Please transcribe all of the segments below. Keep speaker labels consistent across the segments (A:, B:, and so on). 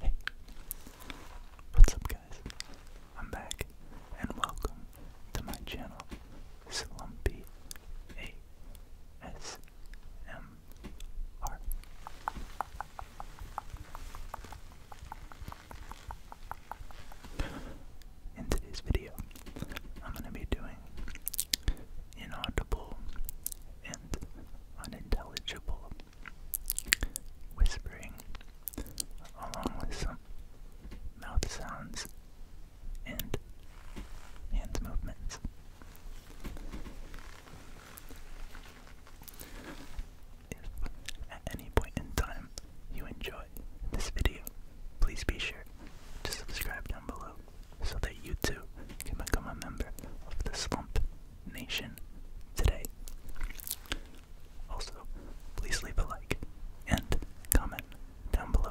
A: Hey, what's up, guys? I'm back, and welcome to my channel, Slumpy A S M R. In today's video, I'm going to be doing inaudible unintelligible whispering, along with some mouth sounds and hands movements. If at any point in time you enjoy this video, please be sure to subscribe down below so that you too can become a member of the Slump Nation today. Also, please leave a like and comment down below.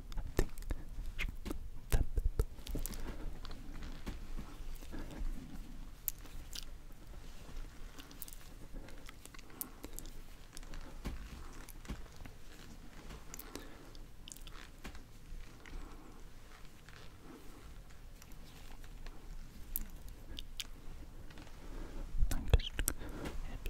A: Hip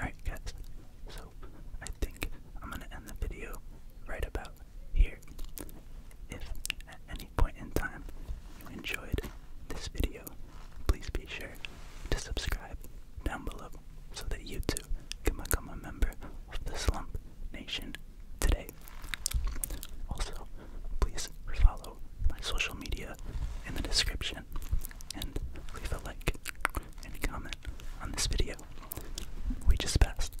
B: Alright, guys, so I think I'm gonna end the video right about here. If at any point in time you enjoyed this video, please be sure to subscribe down below
A: so that you too can become a member of the Slump Nation today. Also, please follow my social media in the description and leave a like and comment on this video. We just passed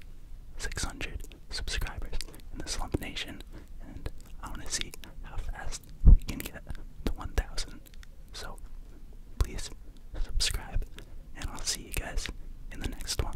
A: 600 subscribers in the Slump Nation, and I want to see how fast we can get to 1,000. So please subscribe, and I'll see you guys in the next one.